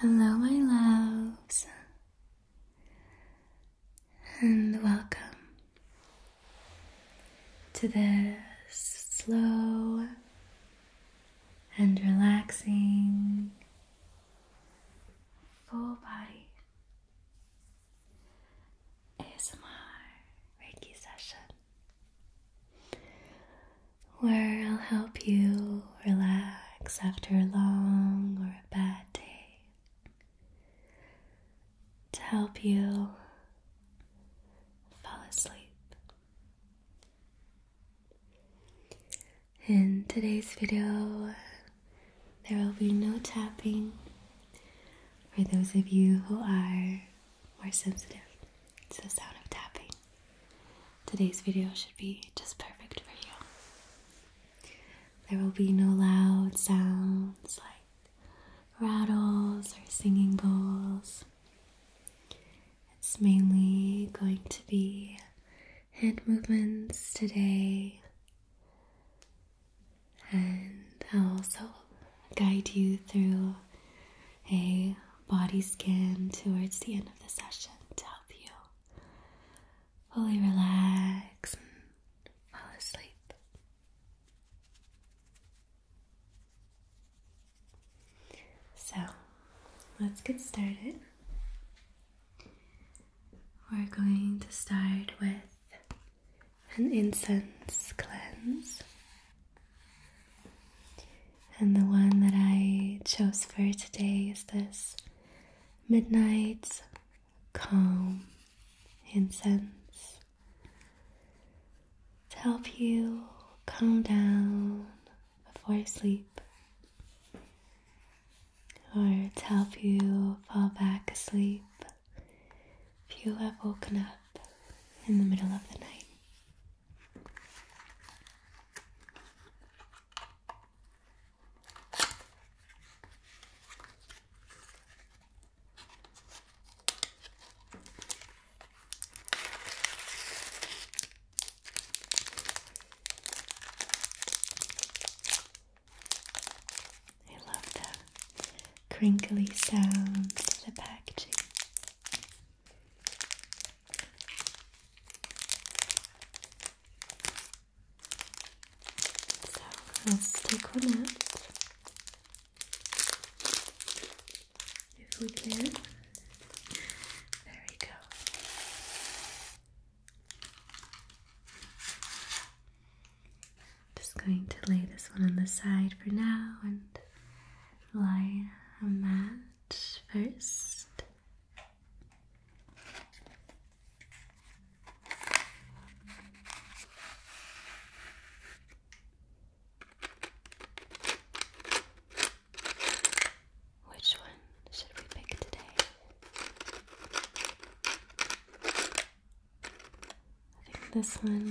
Hello, my loves, and welcome to this slow and relaxing full body ASMR Reiki session where I'll help you relax after a long or a bad day to help you fall asleep. In today's video, there will be no tapping for those of you who are more sensitive to the sound of tapping. Today's video should be just perfect for you. There will be no loud sounds like rattles or singing bowls. It's mainly going to be hand movements today, and I'll also guide you through a body scan towards the end of the session to help you fully relax and fall asleep. So let's get started. We're going to start with an incense cleanse. And the one that I chose for today is this Midnight Calm Incense to help you calm down before sleep or to help you fall back asleep if you have woken up in the middle of the night. I love the crinkly sound of the packaging. So let's stick on it if we can. There we go. Just going to lay this one on the side for now and lie a mat first. Which one should we pick today? I think this one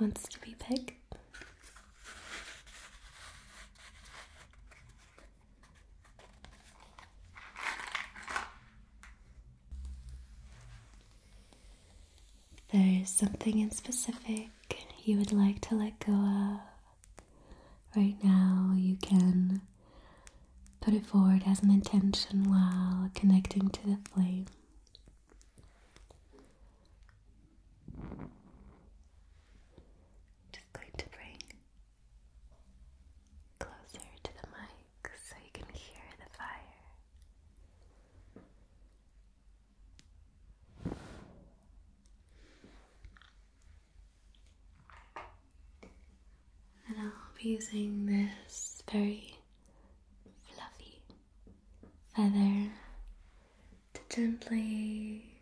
wants to be picked. There is something in specific you would like to let go of. Right now, you can put it forward as an intention while connecting to the flame. Just going to bring closer to the mic so you can hear the fire. And I'll be using this very fluffy feather to gently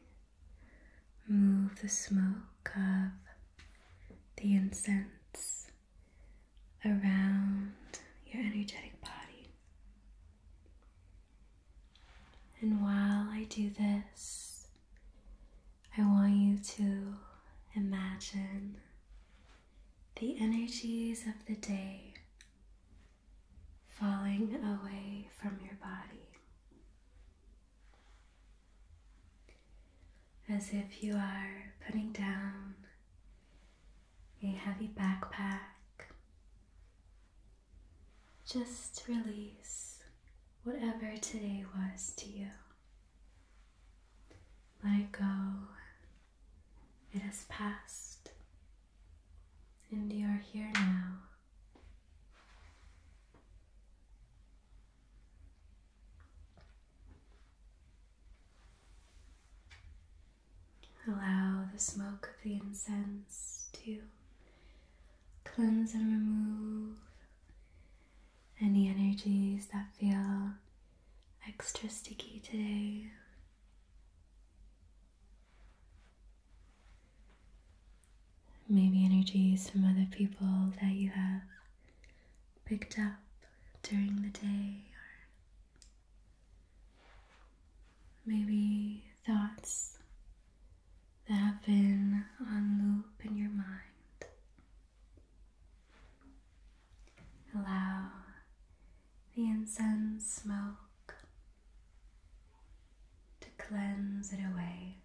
move the smoke of the incense around your energetic body. And while I do this, I want you to imagine the energies of the day falling away from your body as if you are putting down a heavy backpack. Just release whatever today was to you. Let it go. It has passed, and you are here now. Allow the smoke of the incense to cleanse and remove any energies that feel extra sticky today. Maybe energies from other people that you have picked up during the day, or maybe thoughts that have been on loop in your mind. Allow the incense smoke to cleanse it away.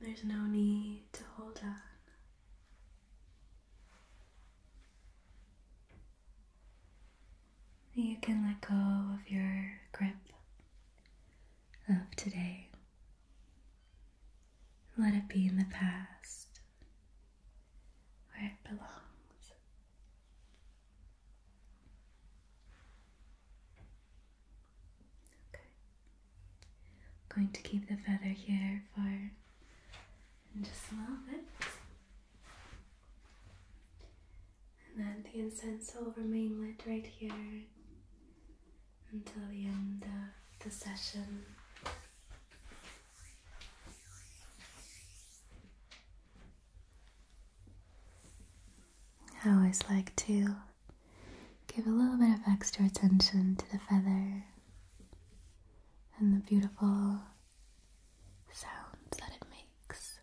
There's no need to hold on. You can let go of your grip of today. Let it be in the past where it belongs. Okay. going to keep the feather here for just a little bit. And then the incense will remain lit right here until the end of the session. I always like to give a little bit of extra attention to the feather and the beautiful sounds that it makes.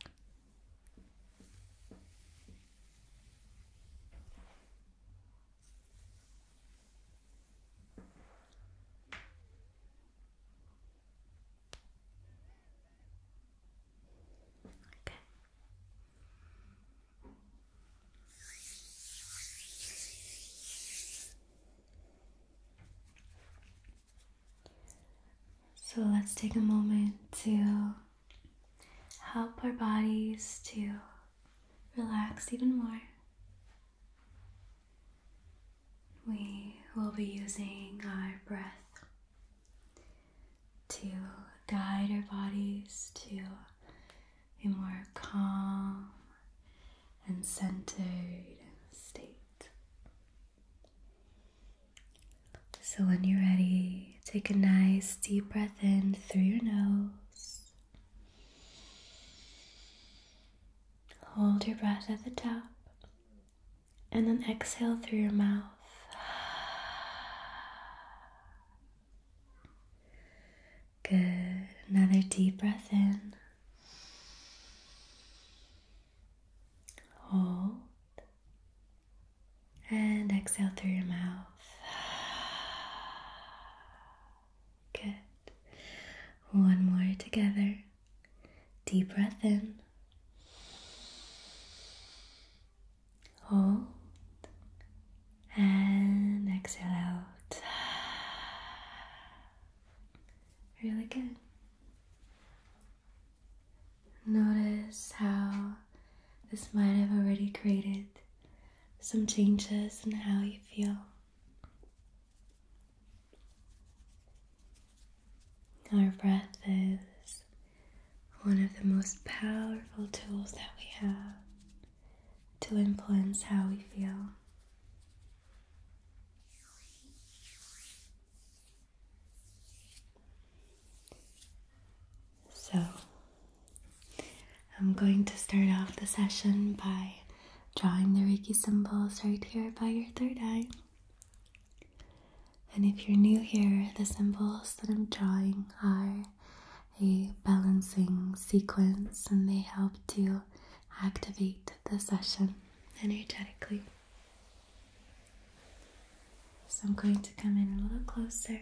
Okay. So let's take a moment to help our bodies to relax even more. We will be using our breath to guide our bodies to a more calm and centered state. So, when you're ready, take a nice deep breath in through your nose. Hold your breath at the top and then exhale through your mouth. Good. Another deep breath in. Hold and exhale through your mouth. Good. One more together. Deep breath in. Hold. And exhale out. Really good. Notice how this might have already created some changes in how you feel. Our breath is one of the most powerful tools that we have to influence how we feel. So, I'm going to start off the session by drawing the Reiki symbols right here by your third eye. And if you're new here, the symbols that I'm drawing are a balancing sequence and they help to activate the session energetically. So I'm going to come in a little closer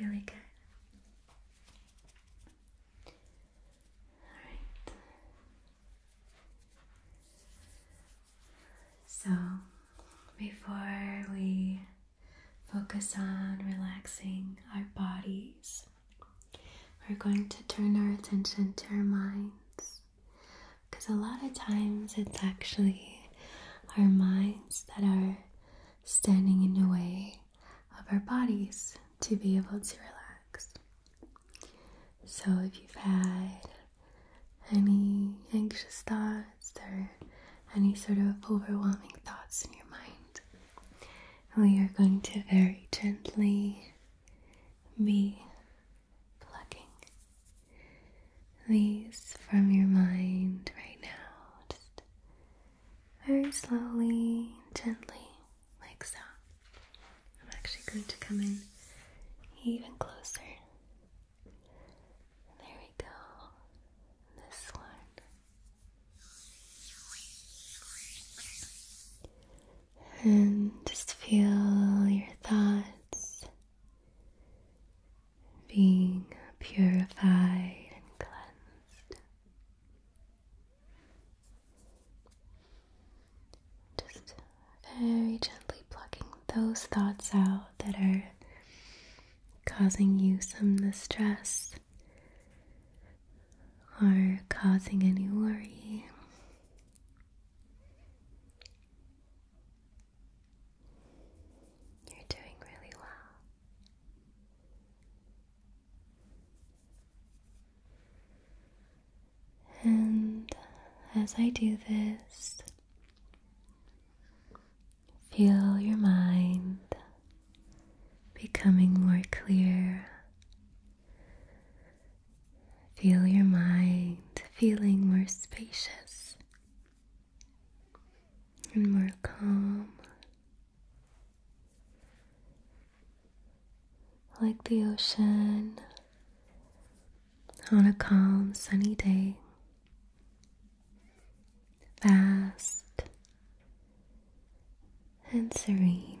Really good. Alright. So, before we focus on relaxing our bodies, we're going to turn our attention to our minds. Because a lot of times it's actually our minds that are standing in the way of our bodies to be able to relax. So if you've had any anxious thoughts or any sort of overwhelming thoughts in your mind, we are going to very gently be plucking these from your mind right now, just very slowly, gently, like so. I'm actually going to come in even closer. There we go. This one and just feel your thoughts being purified and cleansed. Just very gently plucking those thoughts out that are causing you some distress or causing any worry. You're doing really well. And as I do this, feel your mind becoming more clear Feel your mind feeling more spacious and more calm, like the ocean on a calm, sunny day. Vast and serene.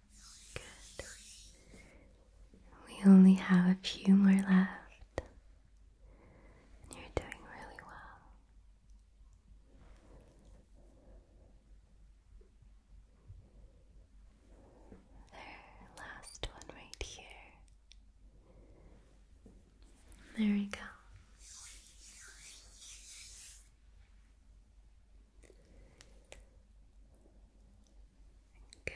Good. We only have a few more left. You're doing really well. last one right here. There we go. Good.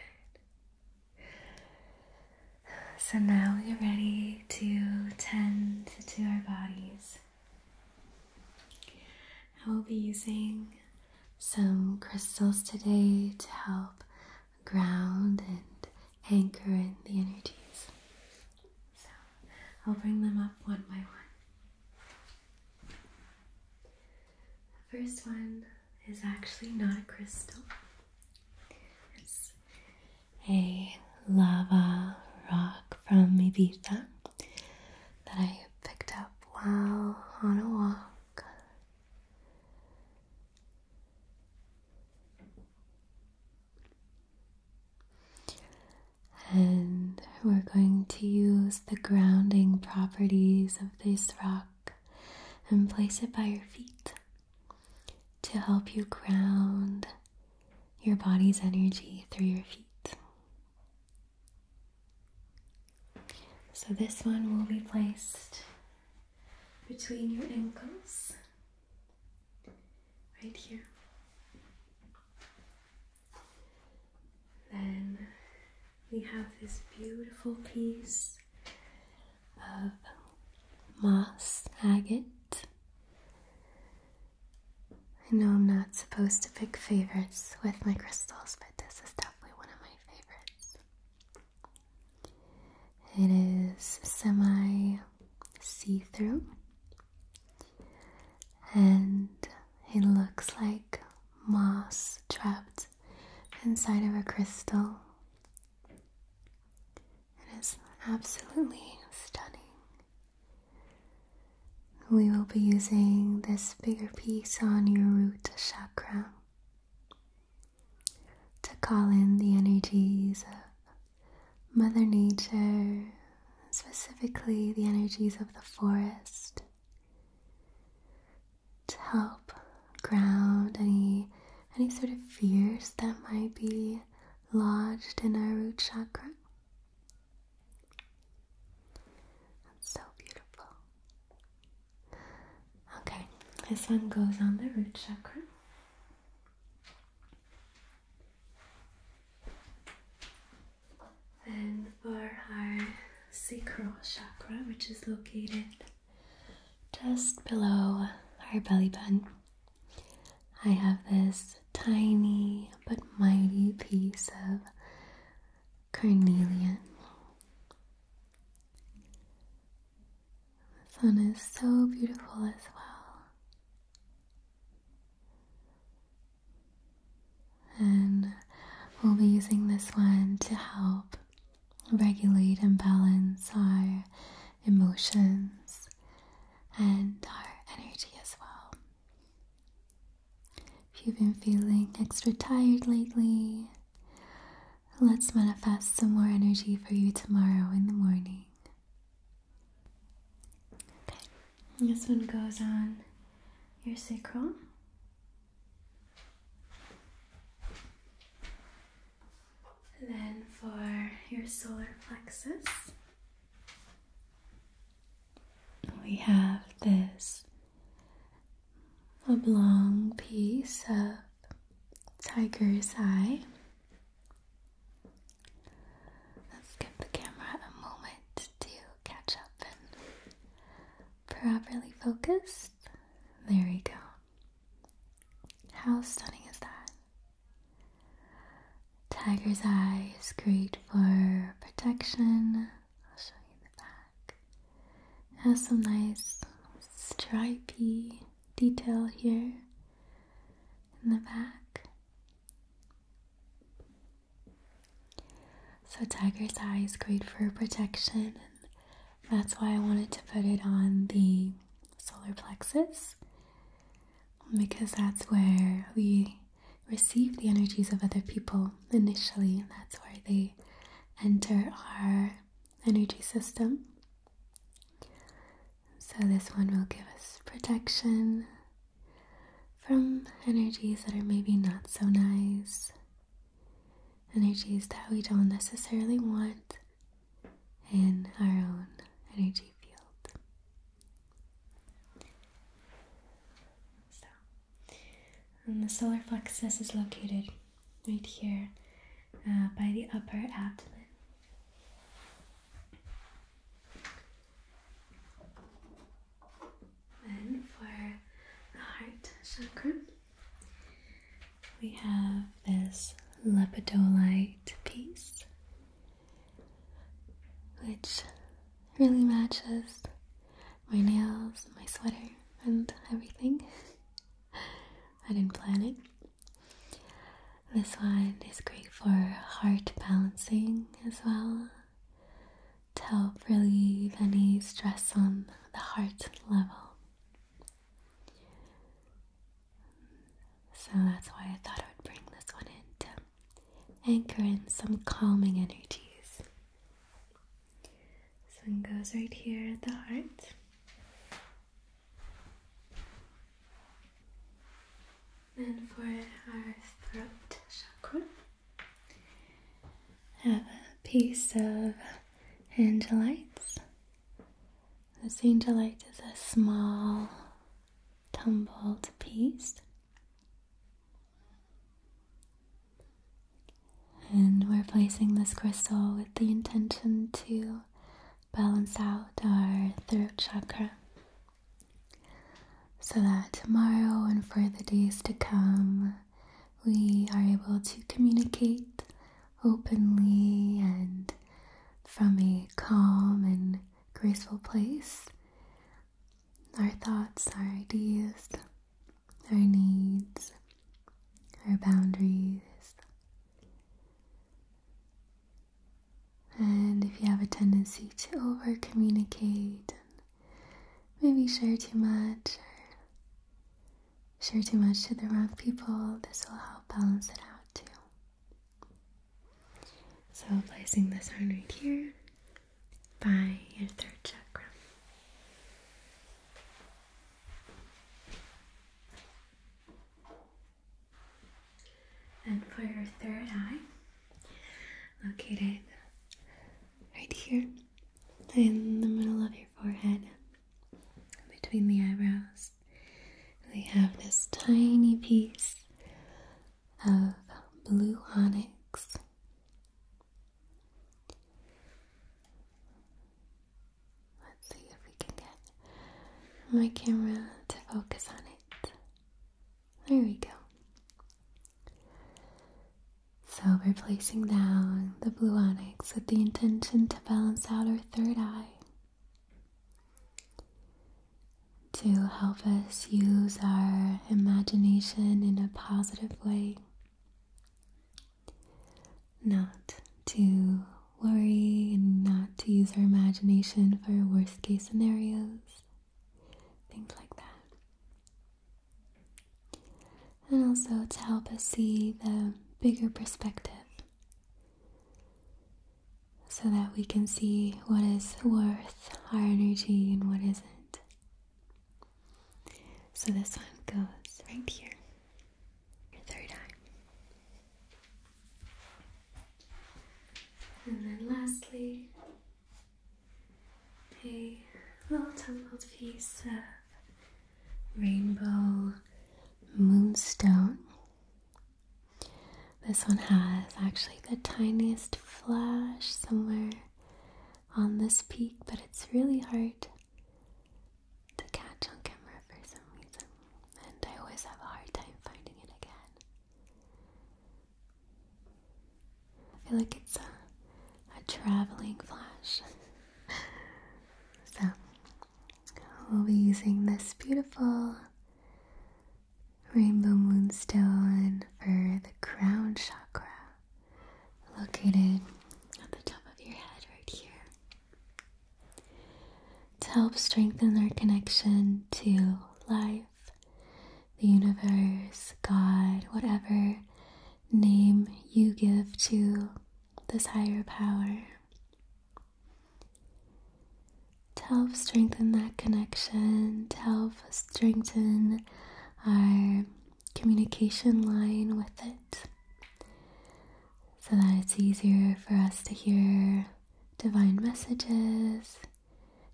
So now we're ready to tend to our bodies. I will be using some crystals today to help ground and anchor in the energies. So I'll bring them up one by one. The first one is actually not a crystal, it's a lava rock from Ibiza that I picked up while on a walk. And we're going to use the grounding properties of this rock and place it by your feet to help you ground your body's energy through your feet. So, this one will be placed between your ankles, right here. Then we have this beautiful piece of moss agate. I know I'm not supposed to pick favorites with my crystals, but this is definitely one of my favorites. It is semi see through and it looks like moss trapped inside of a crystal. It is absolutely stunning. We will be using this bigger piece on your root chakra to call in the energies of Mother Nature, specifically the energies of the forest to help ground any any sort of fears that might be lodged in our root chakra. That's so beautiful. Okay, this one goes on the root chakra. And for our sacral chakra, which is located just below our belly button. I have this tiny but mighty piece of carnelian. This one is so beautiful as well. And we'll be using this one to help regulate and balance our emotions and our energy as well. If you've been feeling extra tired lately, let's manifest some more energy for you tomorrow in the morning. Okay, this one goes on your sacral. And then for your solar plexus, we have this oblong piece of tiger's eye. Let's give the camera a moment to catch up properly focused. There we go. How stunning is that? Tiger's eye is great for protection. I'll show you the back. It has some nice stripy detail here in the back. So tiger's eye is great for protection and that's why I wanted to put it on the solar plexus because that's where we receive the energies of other people initially that's where they enter our energy system. So this one will give us protection from energies that are maybe not so nice energies that we don't necessarily want in our own energy field. So, and the solar plexus is located right here uh, by the upper abdomen. Then for the heart chakra we have this lepidolite piece, which really matches my nails my sweater and everything. I didn't plan it. This one is great for heart balancing as well to help relieve any stress on the heart level. So that's why I thought I would bring this one in to anchor in some calming energies. This one goes right here at the heart. And for our throat chakra. Have a piece of angelite. This angelite is a small tumbled piece. And we're placing this crystal with the intention to balance out our throat chakra so that tomorrow and for the days to come, we are able to communicate openly and from a calm and graceful place our thoughts, our ideas, our needs, our boundaries. And if you have a tendency to over communicate maybe share too much or share too much to the wrong people, this will help balance it out too. So, placing this arm right here by your third chakra. And for your third eye, locate it right here in the middle of your forehead, between the eyebrows. We have this tiny piece of blue onyx. Let's see if we can get my camera to focus on it. There we go. So we're placing down the blue onyx with the intention to balance out our third eye, to help us use our imagination in a positive way, not to worry and not to use our imagination for worst case scenarios, things like that and also to help us see the bigger perspective so that we can see what is worth our energy and what isn't. So this one goes right here, your third eye. And then lastly, a little tumbled piece of rainbow moonstone. This one has actually the tiniest flash somewhere on this peak, but it's really hard to catch on camera for some reason, and I always have a hard time finding it again. I feel like it's a, traveling flash. so, we'll be using this beautiful rainbow moonstone for the crown chakra, located at the top of your head right here, to help strengthen our connection to life, the universe, God, whatever name you give to this higher power to help strengthen that connection, to help strengthen our communication line with it so that it's easier for us to hear divine messages,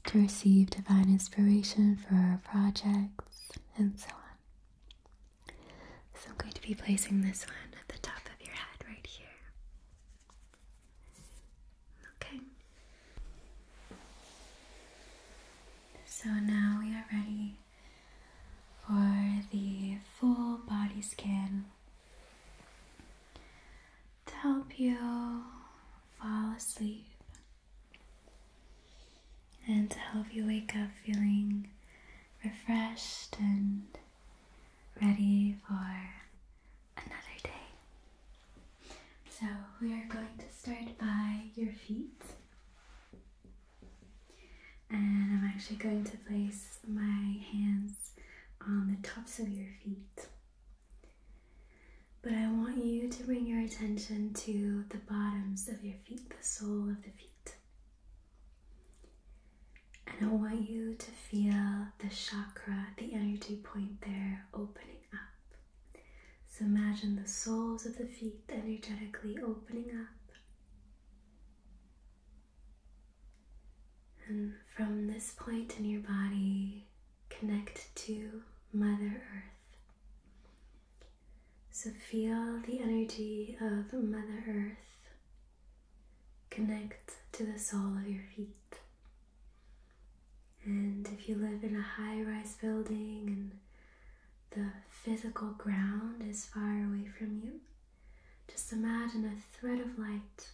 to receive divine inspiration for our projects, and so on. So I'm going to be placing this one at the top of your head right here. Okay. So now we are ready for the full body scan to help you fall asleep and to help you wake up feeling refreshed and ready for another day. So, we are going to start by your feet. And I'm actually going to place my hands on the tops of your feet. But I want you to bring your attention to the bottoms of your feet, the sole of the feet. And I want you to feel the chakra, the energy point there opening up. So imagine the soles of the feet energetically opening up. And from this point in your body, connect to Mother Earth. So feel the energy of Mother Earth connect to the sole of your feet. And if you live in a high rise building and the physical ground is far away from you, just imagine a thread of light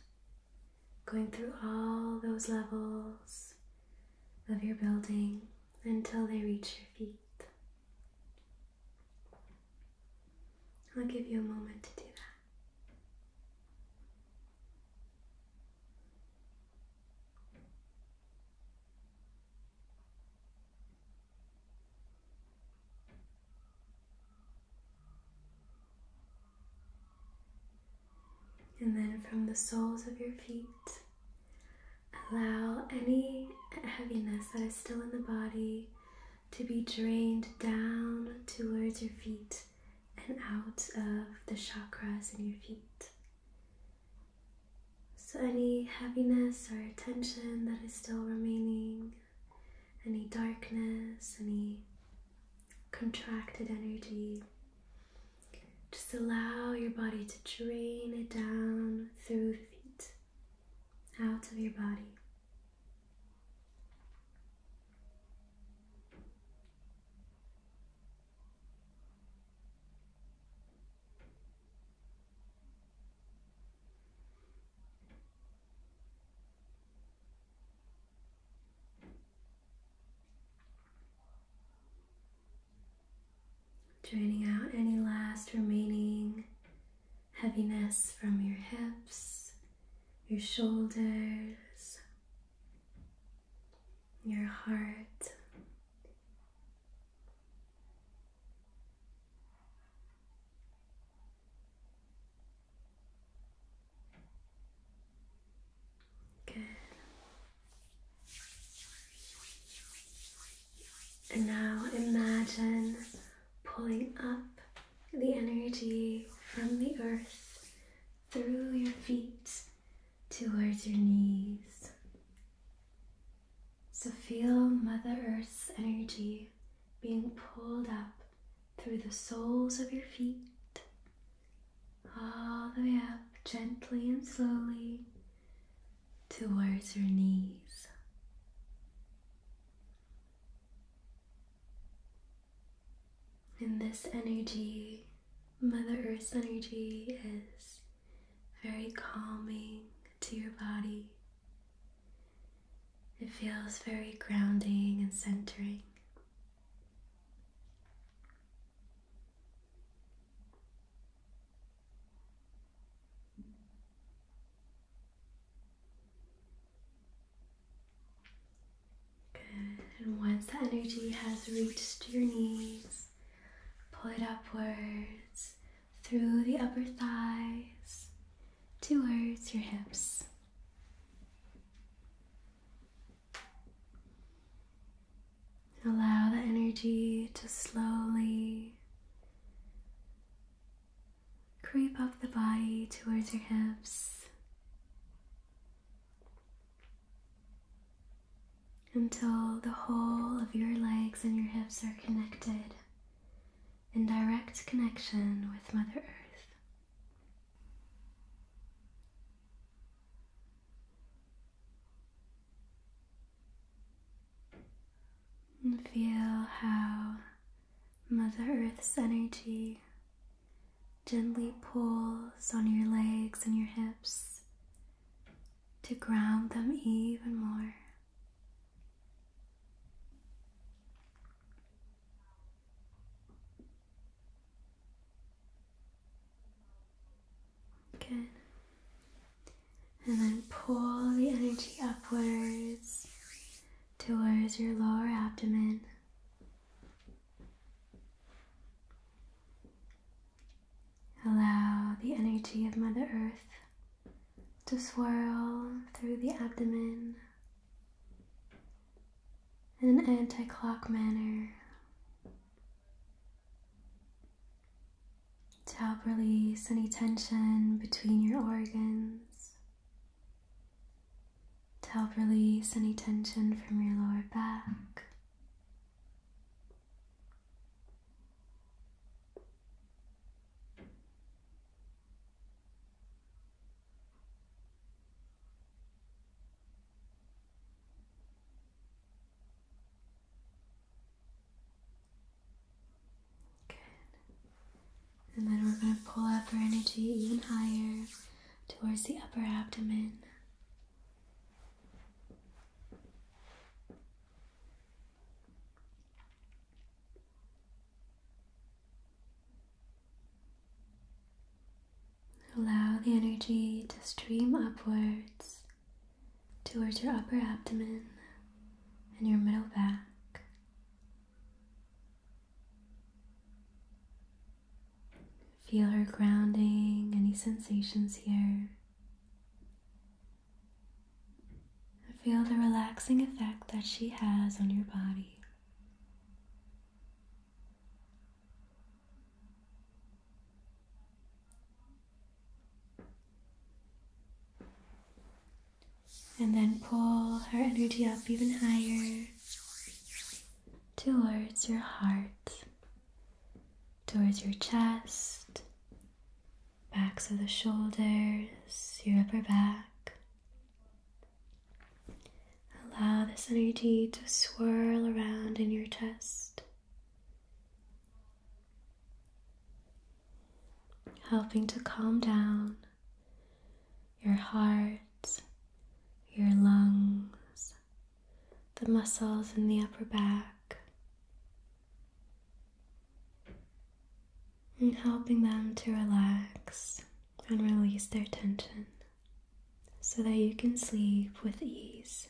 going through all those levels of your building until they reach your feet. I'll give you a moment to do that. And then from the soles of your feet Allow any heaviness that is still in the body to be drained down towards your feet and out of the chakras in your feet. So, any heaviness or tension that is still remaining, any darkness, any contracted energy, just allow your body to drain it down through the feet, out of your body. Draining out any last remaining heaviness from your hips, your shoulders, your heart. Good. And now imagine pulling up the energy from the earth through your feet towards your knees. So feel Mother Earth's energy being pulled up through the soles of your feet, all the way up gently and slowly towards your knees. In this energy, Mother Earth's energy is very calming to your body. It feels very grounding and centering. Good. And once the energy has reached your knees, pull it upwards through the upper thighs towards your hips. Allow the energy to slowly creep up the body towards your hips until the whole of your legs and your hips are connected in direct connection with Mother Earth. And feel how Mother Earth's energy gently pulls on your legs and your hips to ground them even more. Good and then pull the energy upwards towards your lower abdomen. Allow the energy of Mother Earth to swirl through the abdomen in an anti clock manner to help release any tension between your organs, to help release any tension from your lower back. And then we're going to pull up our energy even higher towards the upper abdomen. Allow the energy to stream upwards towards your upper abdomen and your middle back. Feel her grounding any sensations here. Feel the relaxing effect that she has on your body. And then pull her energy up even higher towards your heart, towards your chest, backs of the shoulders, your upper back. Allow this energy to swirl around in your chest helping to calm down your heart, your lungs, the muscles in the upper back, and helping them to relax and release their tension so that you can sleep with ease.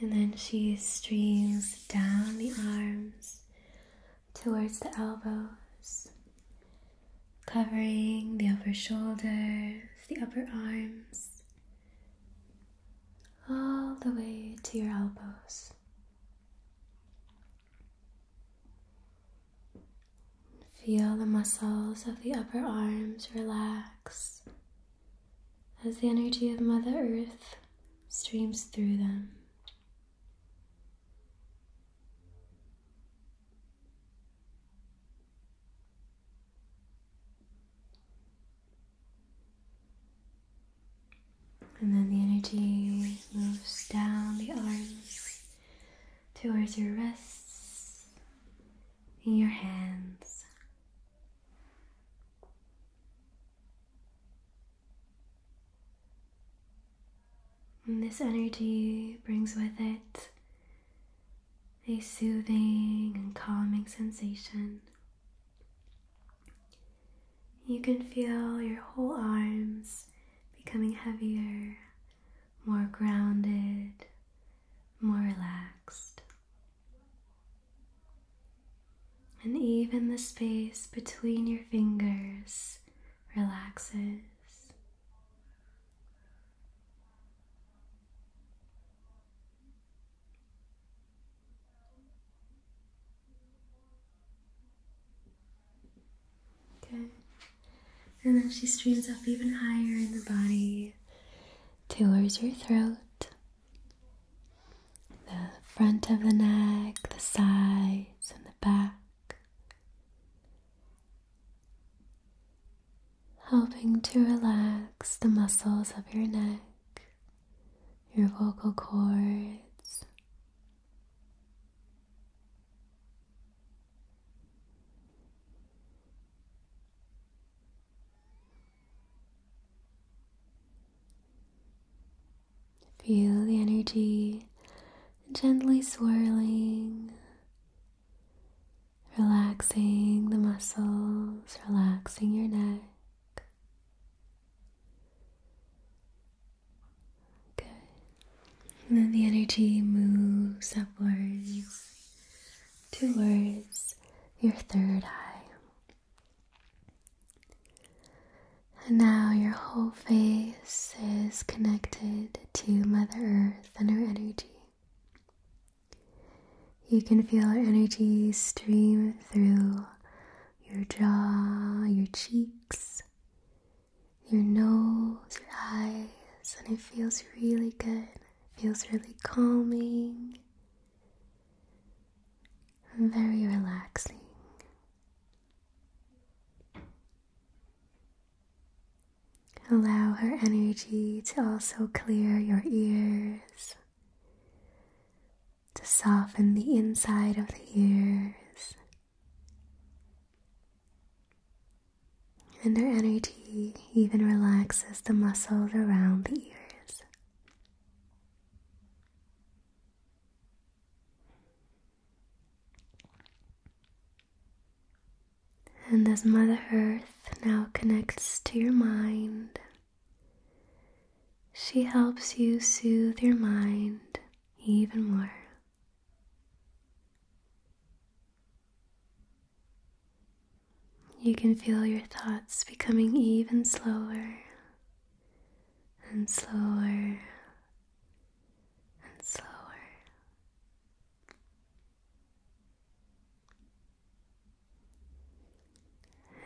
And then she streams down the arms towards the elbows, covering the upper shoulders, the upper arms, all the way to your elbows. Feel the muscles of the upper arms relax as the energy of Mother Earth streams through them. And then the energy moves down the arms towards your wrists and your hands. And this energy brings with it a soothing and calming sensation. You can feel your whole arms becoming heavier, more grounded, more relaxed. And even the space between your fingers relaxes. Okay. And then she streams up even higher in the body towards your throat, the front of the neck, the sides, and the back helping to relax the muscles of your neck, your vocal cords. Feel the energy gently swirling relaxing the muscles, relaxing your neck. Good. And then the energy moves upwards towards your third eye. And now your whole face is connected to Mother Earth and her energy. You can feel our energy stream through your jaw, your cheeks, your nose, your eyes, and it feels really good. It feels really calming, very relaxing. Allow her energy to also clear your ears, to soften the inside of the ears. And her energy even relaxes the muscles around the ears. And as Mother Earth now connects to your mind, she helps you soothe your mind even more. You can feel your thoughts becoming even slower and slower and slower.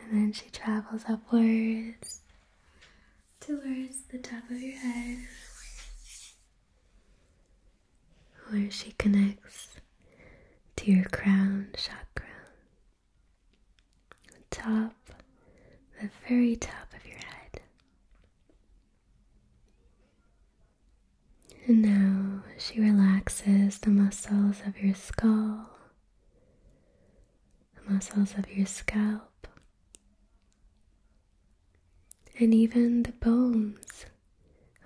And then she travels upwards towards the top of your head, where she connects to your crown chakra, the top, the very top of your head. And now she relaxes the muscles of your skull, the muscles of your scalp, and even the bones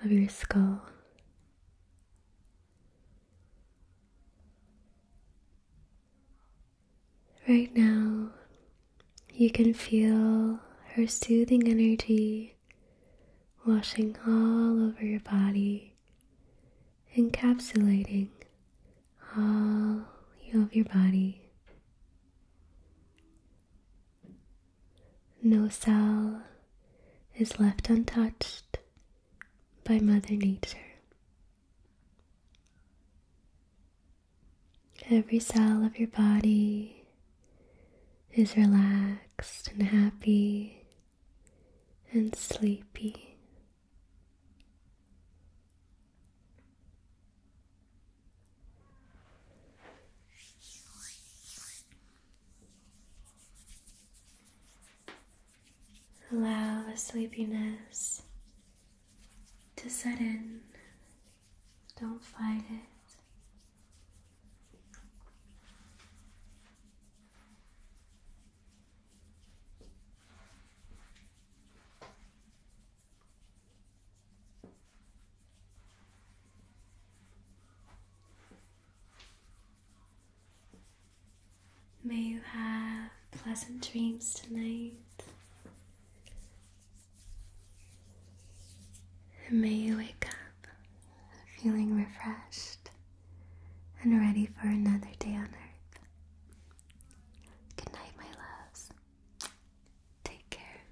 of your skull. Right now, you can feel her soothing energy washing all over your body, encapsulating all of your body. No cell is left untouched by Mother Nature. Every cell of your body is relaxed and happy and sleepy. Allow the sleepiness to set in. Don't fight it. May you have pleasant dreams tonight. And may you wake up feeling refreshed and ready for another day on earth. Good my loves. Take care.